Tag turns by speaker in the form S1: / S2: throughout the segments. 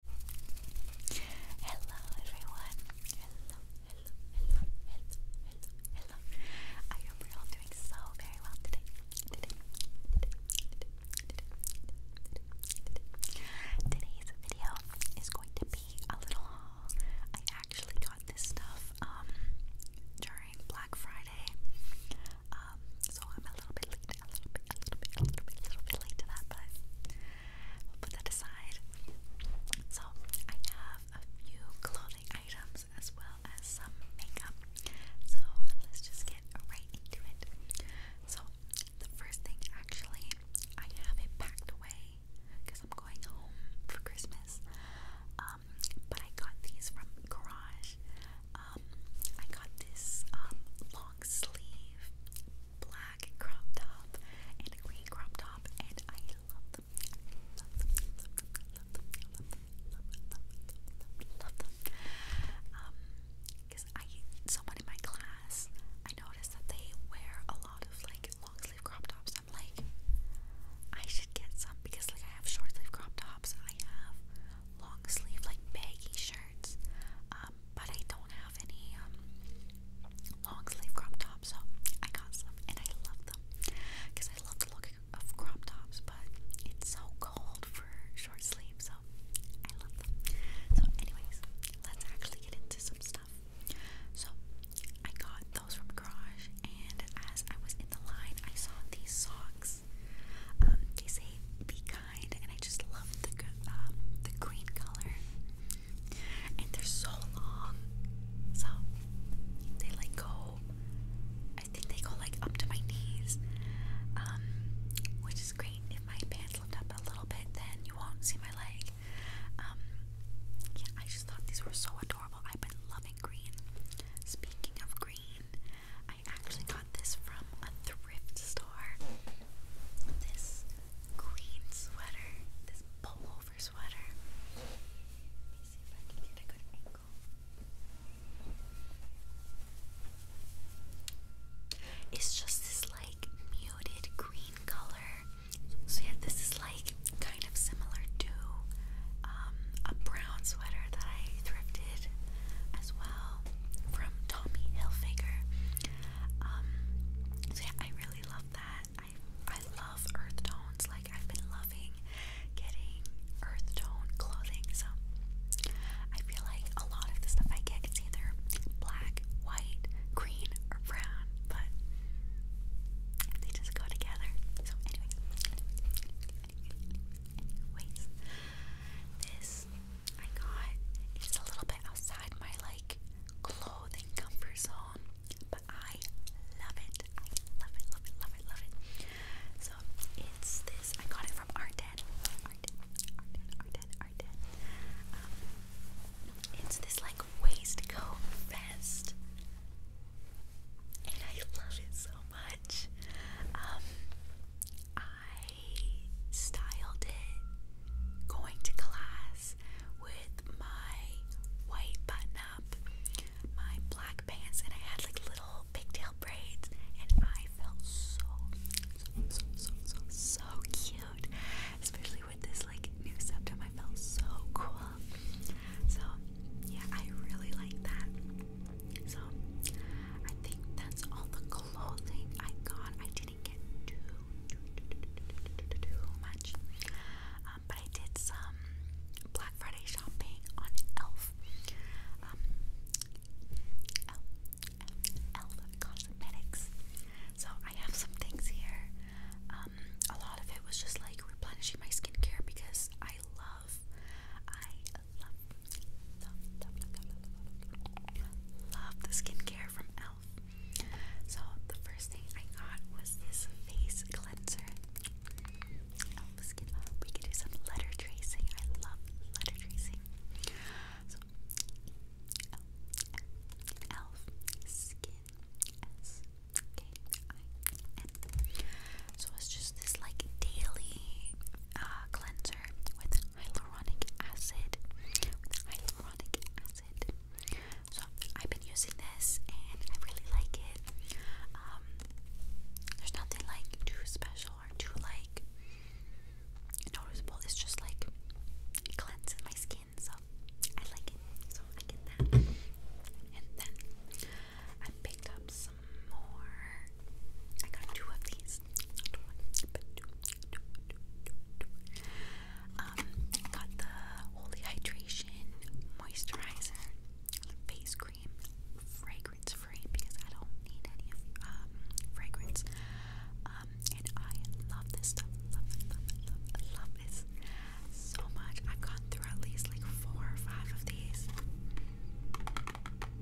S1: Hello everyone. Hello, hello, hello, hello, hello, hello. I hope you're all doing so very well today. Today, today, today, today, today, today. Today's video is going to be a little haul. I actually got this stuff um, during Black Friday. Um, so I'm a little bit a little bit, a little bit, a little bit, a little bit late to that, but We'll put that aside. So I have a few clothing items as well as some makeup. So let's just get right into it. So the first thing actually, I have it packed away because I'm going home for Christmas. Um, but I got these from Garage. Um, I got this um, long sleeve black crop top and a green crop top, and I love them. Love them, love them, love them, love them, love them, love them, Um, because I, someone in my class, I noticed that they wear a lot of like long sleeve crop tops. I'm like, I should get some because like I have short sleeve crop tops. I have long sleeve like baggy shirts. Um, but I don't have any um, long sleeve crop tops, so I got some and I love them because I love the look of crop tops, but it's so cold for short sleeves, so I love them. So, anyways, let's actually get into some stuff. So, I got those from Garage, and as I was in the line, I saw these socks. Um, they say Vika and I just love um, the green color. And they're so long, so they like go. I think they go like up to my knees, um, which is great. If my pants lift up a little bit, then you won't see my leg. Um, yeah, I just thought these were so adorable. I've been loving green. Speaking of green, I actually got this from a thrift store. This green sweater, this pullover sweater. Let me see if I can get a good angle. It's just this like muted green color. So yeah, this is like kind of similar to um, a brown sweater that I thrifted as well from Tommy Hilfiger. Um, yeah, I really love that. I I love earth tones. Like I've been loving getting earth tone clothing. So I feel like a lot of the stuff I get is either black, white, green, or brown, but they just go together. So anyway, anyways, this I got it's a little bit outside my like clothing comfort zone, but I love it. I love it, love it, love it, love it. So it's this. I got it from Arden. Arden, Arden, Arden, Arden. Um, it's this like waistcoat vest, and I love it so much. Um, I styled it going to class with my white button up, my black pants, and I had like little pigtail braids, and I felt so, so, so, so, so cute, especially with this like new septum. I felt so cool. So, yeah, I really like that. So I think that's all the clothing I got. I didn't get too too, too, too, too, too much, um, but I did some Black Friday shopping on Elf. Um, Elf, Cosmetics. So I have some things here. Um, a lot of it was just like replenishing my skincare because I love, I love, the skincare from e.l.f. So the first thing I got was this face cleanser. e.l.f. Skin We could do some letter tracing. I love letter tracing. So e.l.f. Skin So it's just this like daily uh, cleanser with hyaluronic acid. With acid. So I've been using this and I really like it. Um, there's nothing like too special or too like noticeable. It's just like cleanses my skin, so I like it. So I get that. And then I picked up some more. I got two of these. Um, I got the Holy Hydration Moisturizer Face Cream, fragrance free because I don't need any um, fragrance. Um, and I love this stuff. Love, love, love, love this so much. I've gone through at least like four or five of these. Super,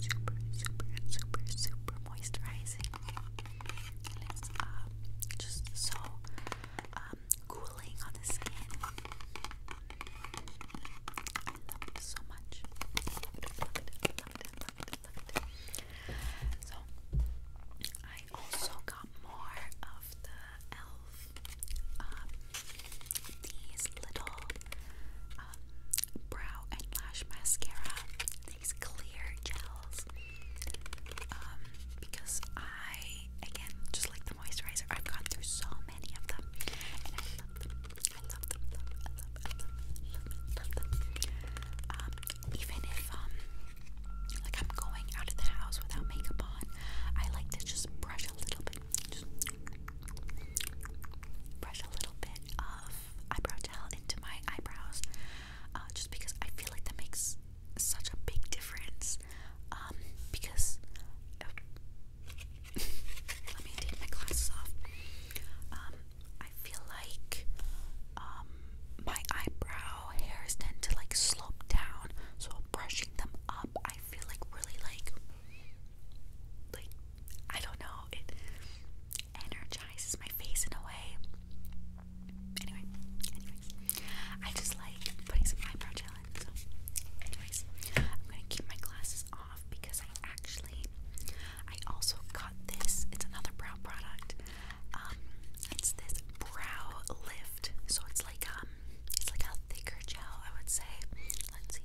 S1: super, super, super, super moisturizing. And it's um, just so um, cooling on the skin. I love it so much. So, I also got more um, the elf um, these little um, brow and lash mascara, these clear gels. Um, because I, again, just like the moisturizer, I've gone through so many of them, and even if like I'm going out of the house without makeup on, I like to just brush a little bit brush a little bit of eyebrow gel into my eyebrows, uh, just because I feel like that makes such a big difference. Um, because oh, let me take my glasses off. Um, I feel like um, my eyebrow hairs tend to like slope down, so brushing them up, I feel like really like like I don't know, it energizes my face in a way. Anyway, anyways. I just like putting some eyebrow gel in. So anyways, I'm gonna keep my glasses off because I actually I also got this. It's another brow product. Um it's this brow lift. So it's like um he's like a thicker gel, I would say. Let's see.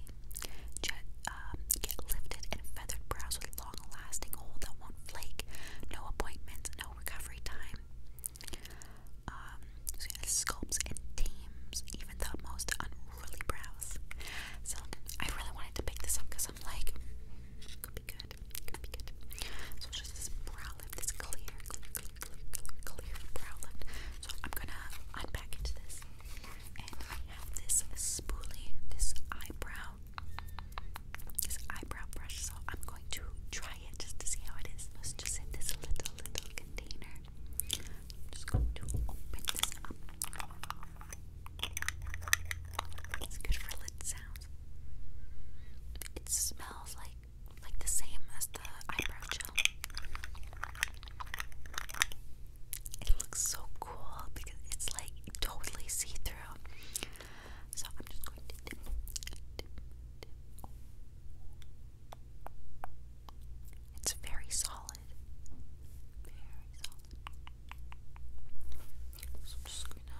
S1: Jet, um, get lifted and feathered brows with long-lasting hold that won't flake. No appointments, no recovery time. Um, sculpts and tames even the most unruly brows. So I really wanted to pick this up because I'm like, could be good, could be good. So just this brow lift, this clear, so I'm gonna unpackage this. And I have this spoolie, this eyebrow, this eyebrow brush. So I'm going to try it just to see how it is. Let's just in this little, little container. I'm just going to open this up. It's good for lid sounds. It smells like like the same as the eyebrow gel. It looks so cool because it's like totally see through. So I'm just going to It's very solid. Very solid. So I'm just gonna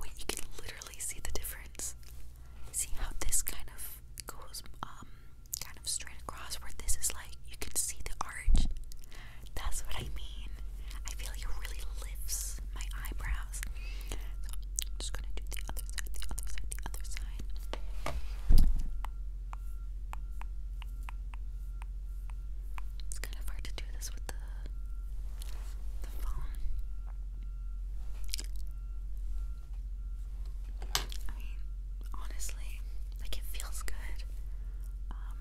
S1: Wait, you can literally see the difference. See how this kind of goes um kind of straight across where this is like you can see the arch. That's what I mean. I feel like it really lifts my eyebrows. I'm just gonna do the other side, the other side, the other side. It's kind of hard to do this with the the phone. I mean, honestly, like it feels good. Um,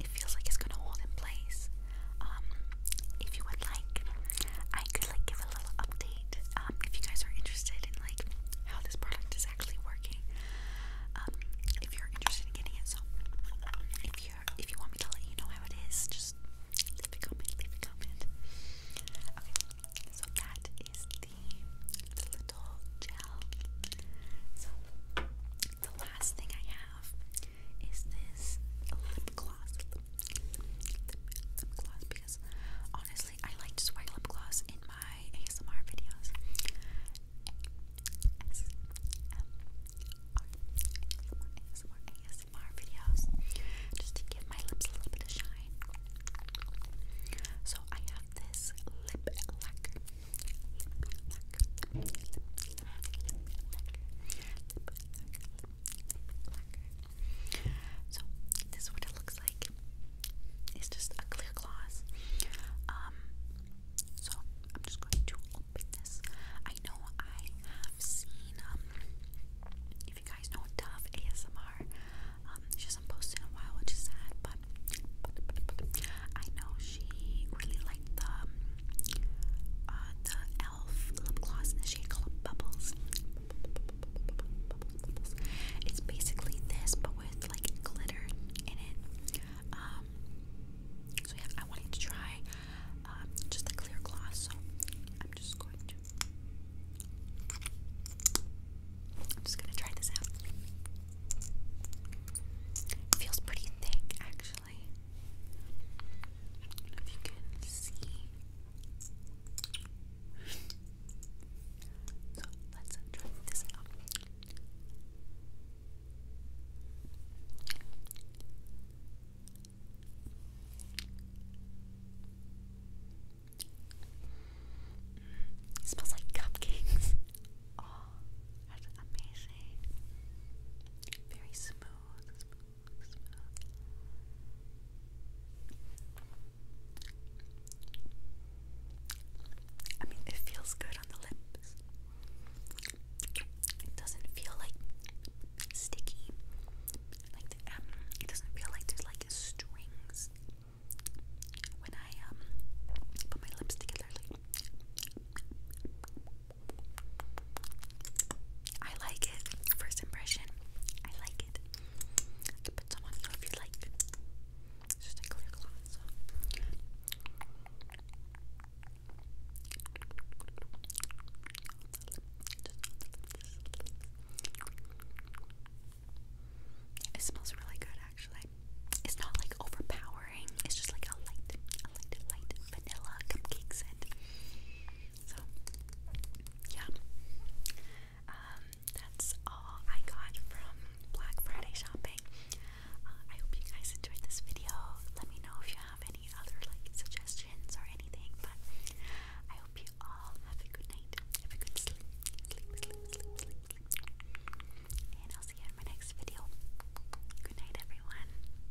S1: it feels like it's gonna hold in place. Um, if you would like, I could like give a little um, if you guys are interested in like how this product is actually working. Um, if you're interested in getting it, so if you if you want me to let you know how it is, just leave a comment. Leave a comment. Okay, so that is the, little gel. So the last thing I have is this lip gloss lip gloss because honestly, I like to swipe lip gloss in my ASMR videos. ASMR, videos just to give my lips a little bit of shine. So I have this lip lacquer. So this is what it looks like. It's just a clear gloss. Um, so I'm just going to open this. I know I have seen um, if you guys know Dove ASMR, um, she hasn't posted in a while, which is sad. But, I know she really liked the uh, the e.l.f. lip gloss in the shade called Bubbles. It's basically this, but with like glitter in it. Um, so yeah, I wanted to try um, just the clear gloss. So I'm just going to, I'm just gonna try this out. feels pretty thick, actually actually. I don't know if you can see. so let's try this out. It smells like cupcakes. Oh, that's amazing. Very smooth. smooth. I mean, it feels good on the lips. It doesn't feel like sticky. Like the, um, it doesn't feel like there's like strings. When I um put my lips together, like I like it. First impression, I like it. put some on you if you like. It's just a clear cloth. It smells really good, actually. It's not like overpowering. It's just like a light, light, light vanilla cupcake scent. So, yeah. Um, that's all I got from Black Friday shopping. Uh, I hope you guys enjoyed this video. Let me know if you have any other like suggestions or anything, but I hope you all have a good night. Have a good sleep. And I'll see you in my next video. Good night, everyone.